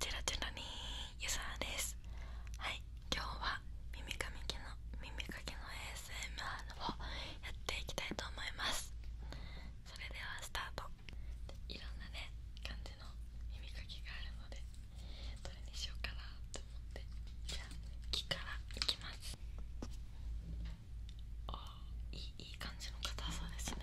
チラチラにゆさですはい今日は耳かきの耳かきの ASMR をやっていきたいと思いますそれではスタートいろんなね感じの耳かきがあるのでどれにしようかなと思ってじゃあ木からいきますあいいいい感じのそうですね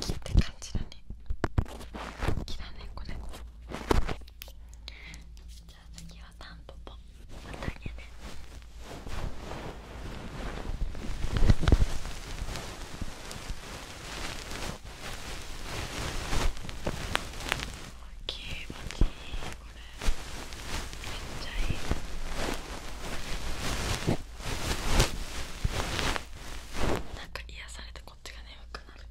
木って感じだね木だねこれじゃあ次はタンポポまたげね気持ちいいこれめっちゃいいなんか癒やされてこっちが眠くなる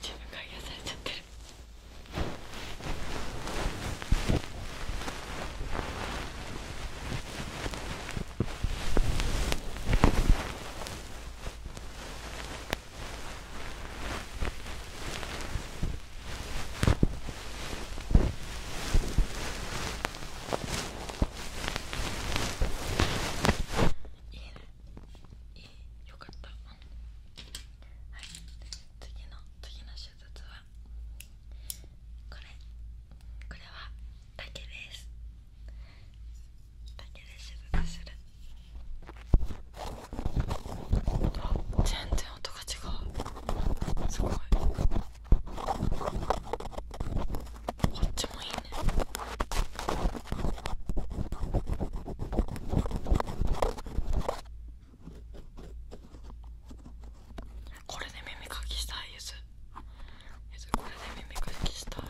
自分が癒やされちゃってるあいいねいいよかったはい次の次の手術はこれこれは竹です竹で手術する全然音が違うすごいこっちもいいねこれで耳かきしたいゆずゆずこれで耳かきしたい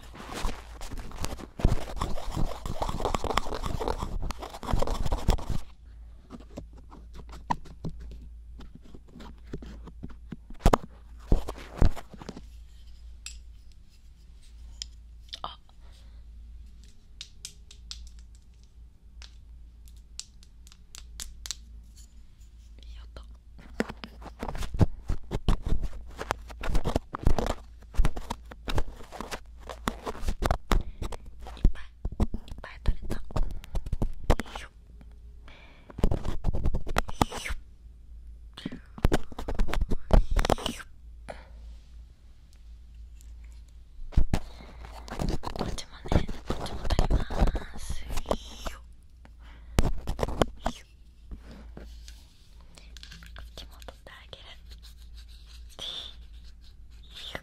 あいい音いっぱいいっぱい取れたこっちもねこっちも取りますこっちも取ってあげるよ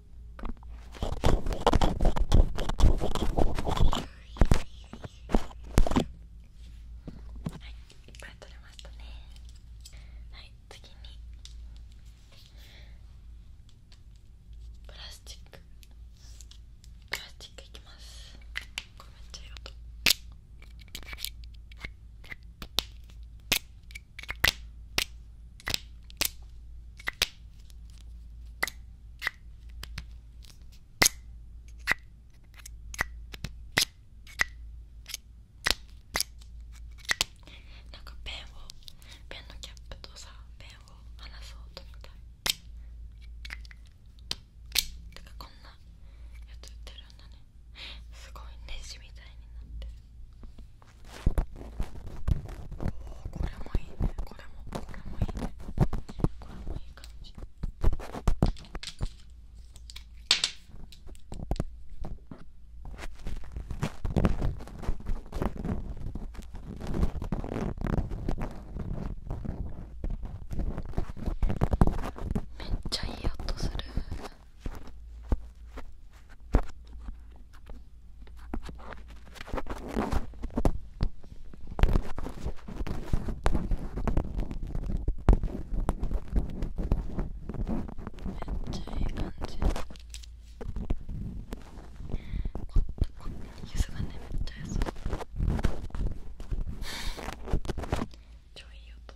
いっぱい取れましたねはい次にプラスチックプラスチックいきますこれめっちゃいい音なんかペンをペンのキャップとさペンを離そうとみたいてかこんなやつ売ってるんだねすごいネジみたいになってるおお、これもいいねこれもこれもいいねこれもいい感じめっちゃいいとする。ちゃいい感じこってこってゆずがねめっちゃ優しい超いい音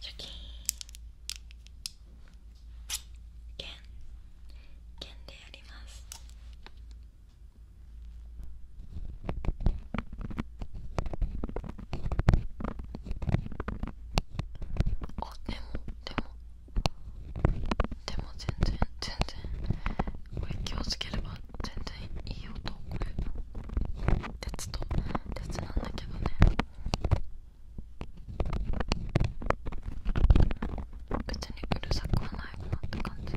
シャキーン剣でやりますあでもでもでも全然全然これ気をつければ全然いい音これ鉄と鉄なんだけどね別にうるさくはないかなって感じ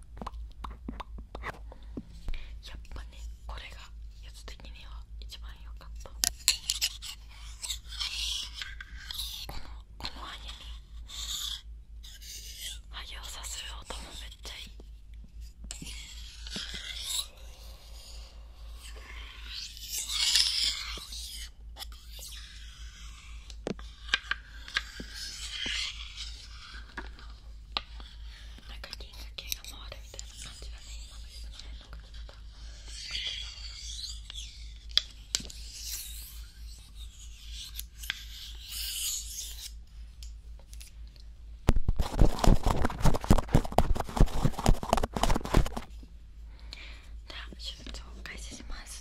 やっぱねこれがやつ的には一番良かったこのこのハゲにハゲをさする音もめっちゃいいなんか銀河系が回るみたいな感じだね今の人の辺の口元では手術を開始します。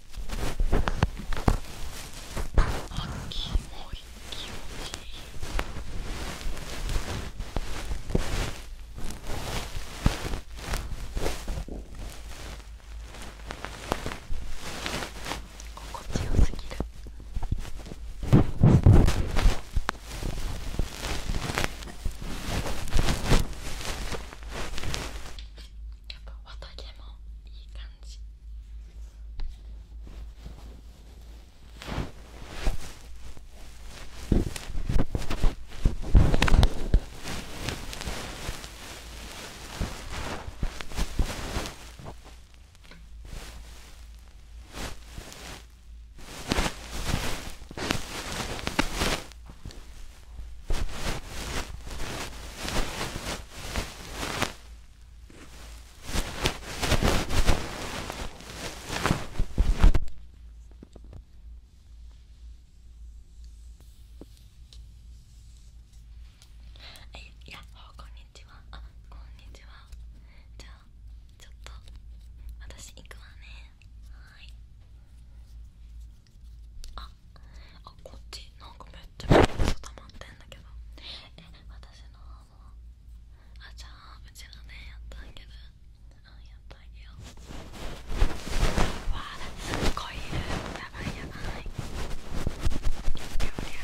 あキモい気持ちいい心地よすぎるやっぱ綿毛もいい感じはい、やこんにちはあこんにちはじゃあちょっと私行くわねはい。ああこっちなんかめっちゃ水溜まってんだけどえ私のああじゃあうちのねやったんやけど、うんやってあげようわあすっごいいるやばいやばいりゃりゃあ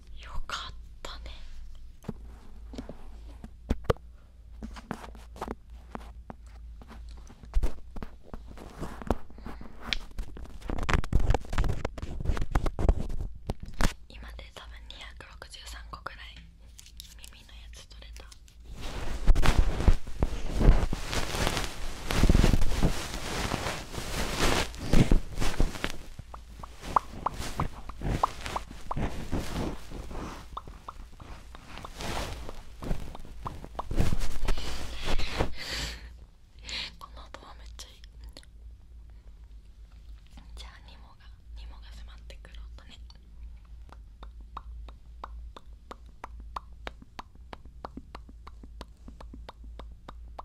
よかったね今で多分263個ぐらい耳のやつ取れた。この音はめっちゃいいじゃあニモがニモが迫ってくる音ね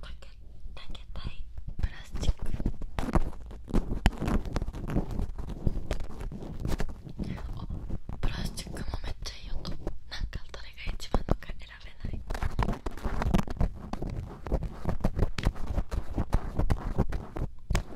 かけたいプラスチックあプラスチックもめっちゃいい音なんかどれが一番のか選べない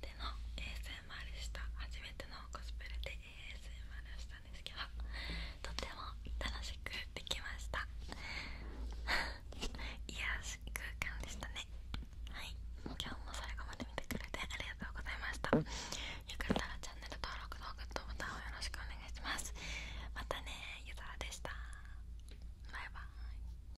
での ASMR した初めてのコスプレで ASMR したんですけどとっても楽しくできました 癒し空間でしたねはい今日も最後まで見てくれてありがとうございましたよかったらチャンネル登録とグッドボタンをよろしくお願いしますまたねゆざーでしたバイバーイ